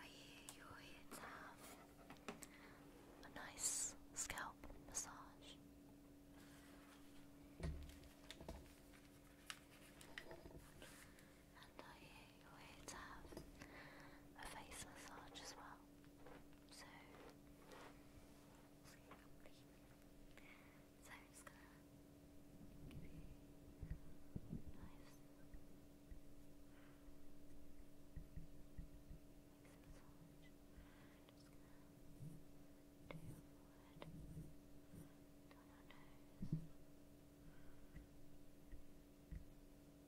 I hear your heads have um, a nice scalp massage. And I hear your heads have um, a face massage as well. So, so I'm just gonna give you knives. Make some massage. Just gonna do your forehead, down your nose.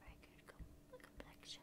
very good complexion.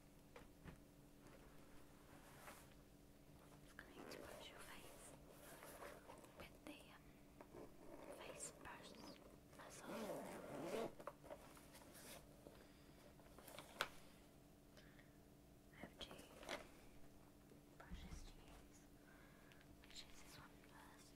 going to brush your face with the um, face brush massage. I have two brushes to use. Let's use this one first.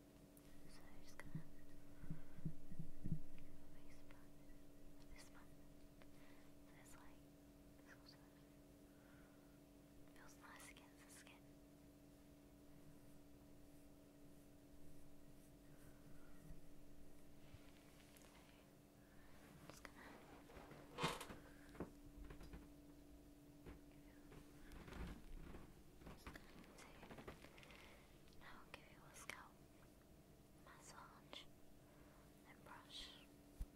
So I just gonna face this one. It's like feels nice against the skin. just gonna now I'll give you a scalp massage and brush.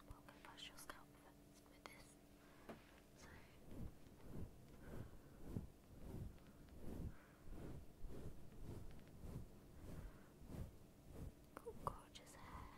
Well, we brush your scalp with this. gorgeous hair.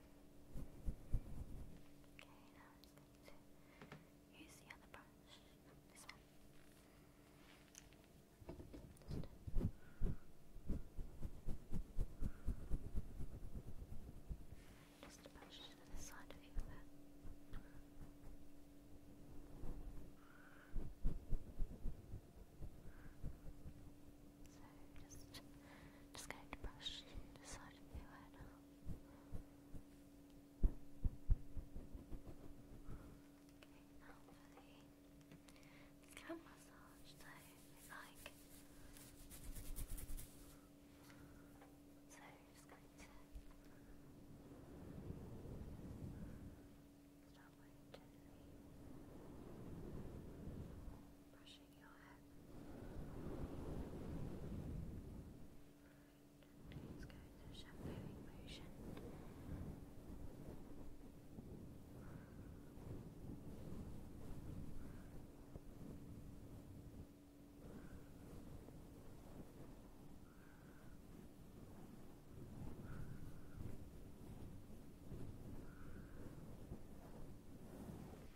Okay, now just use the other brush. This one. Just, just brush to the side of your So just just going to brush the side of your hair now. Okay, now for the scalp massage, so like. So, just going to start by brushing brushing your hair. Right, let's go to the shampooing motion. Right,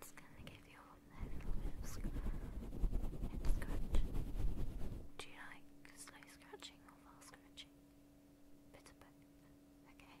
It's gonna give you a little bit of scratch Do you like slow scratching or fast scratching? Bit of both, okay?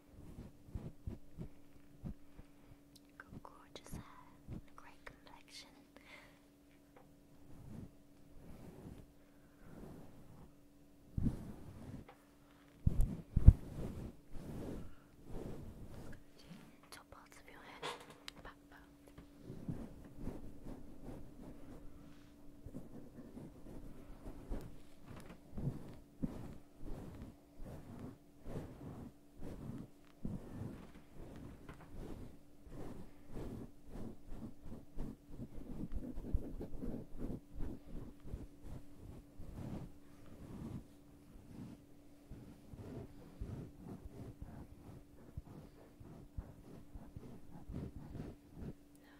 Got gorgeous hair great complexion. Top parts of your head, back part. Now I'm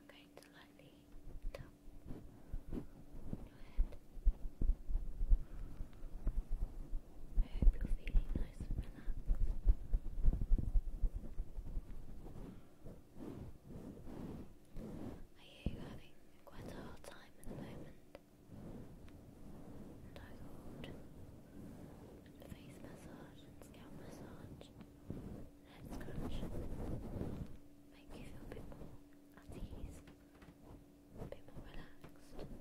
going to lightly top I hope you're feeling nice and relaxed. Are you having quite a hard time at the moment? And I thought a face massage and scalp massage head scrunch make you feel a bit more at ease a bit more relaxed. Just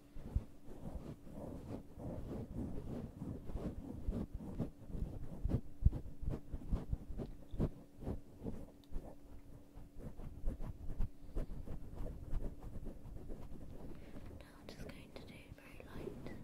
Now i just going to do very light scratching.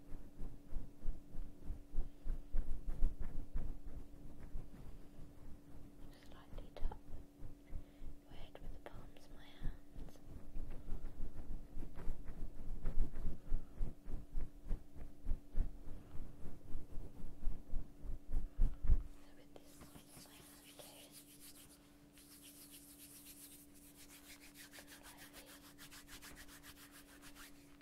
Slightly tap your head with the palms of my hands. with this my hand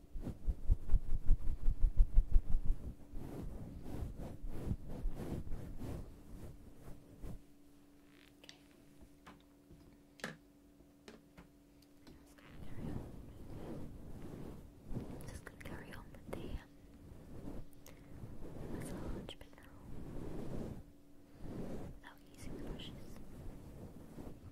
I'm just gonna carry on with the um, massage bit now without using the brushes. Okay.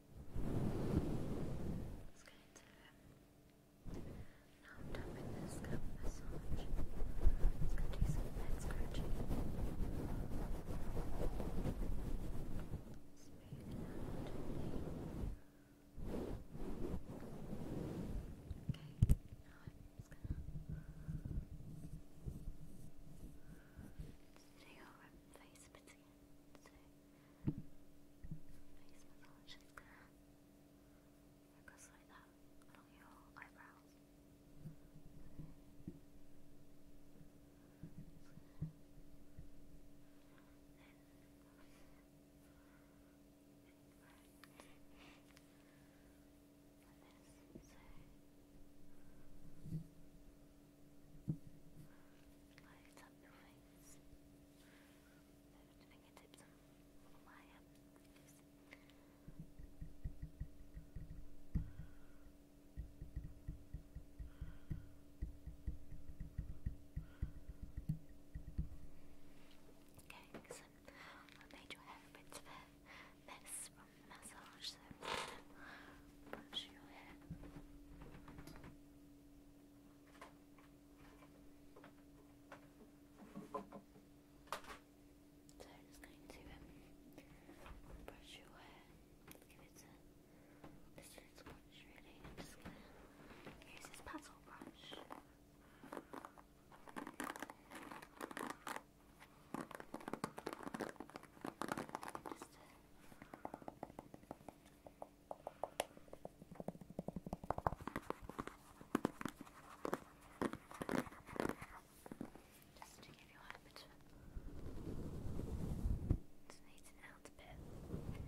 It's going now I'm done this scalp massage. It's going to do some head scratching. Smooth it Okay, now I'm just gonna just your face a Face massage is gonna focus like your eyebrows. Then, like this, so Light up your face fingertips on Okay, so I made your hair a bit of a from the massage, so brush your hair. So I'm just going to um, brush your hair, just give it a just a little swatch really. I'm just going to use this paddle brush. Just to just to give you a picture. It needs an out bit. Just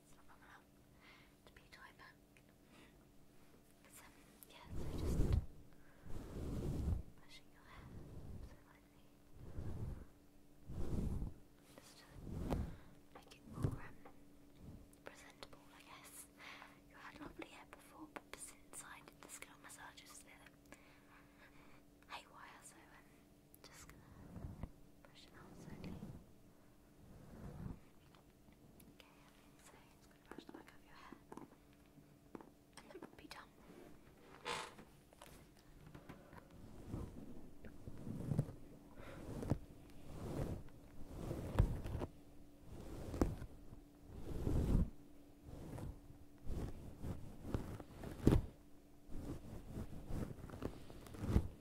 minutes to be tied back. But, um, just pushing your hair so lightly. Just to make it more um, presentable, I guess. You had lovely hair before, but since I did the scalp massage, it's a bit haywire, so um, just gonna brush it out slightly. Okay, so it's gonna brush the back of your hair. And then be done.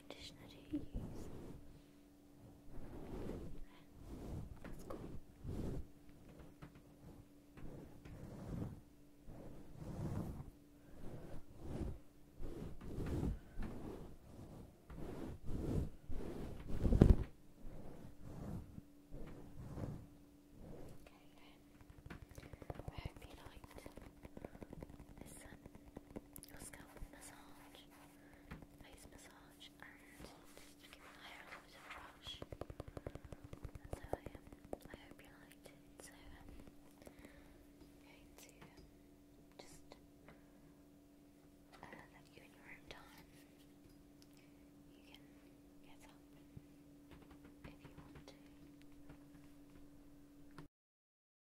conditioner do you use? That's cool. Okay, I hope you scalp massage, face massage, and just give my hair a little bit of a I, um, I hope you liked it. So um, going to just uh, you in your own time. You can get up if you want to.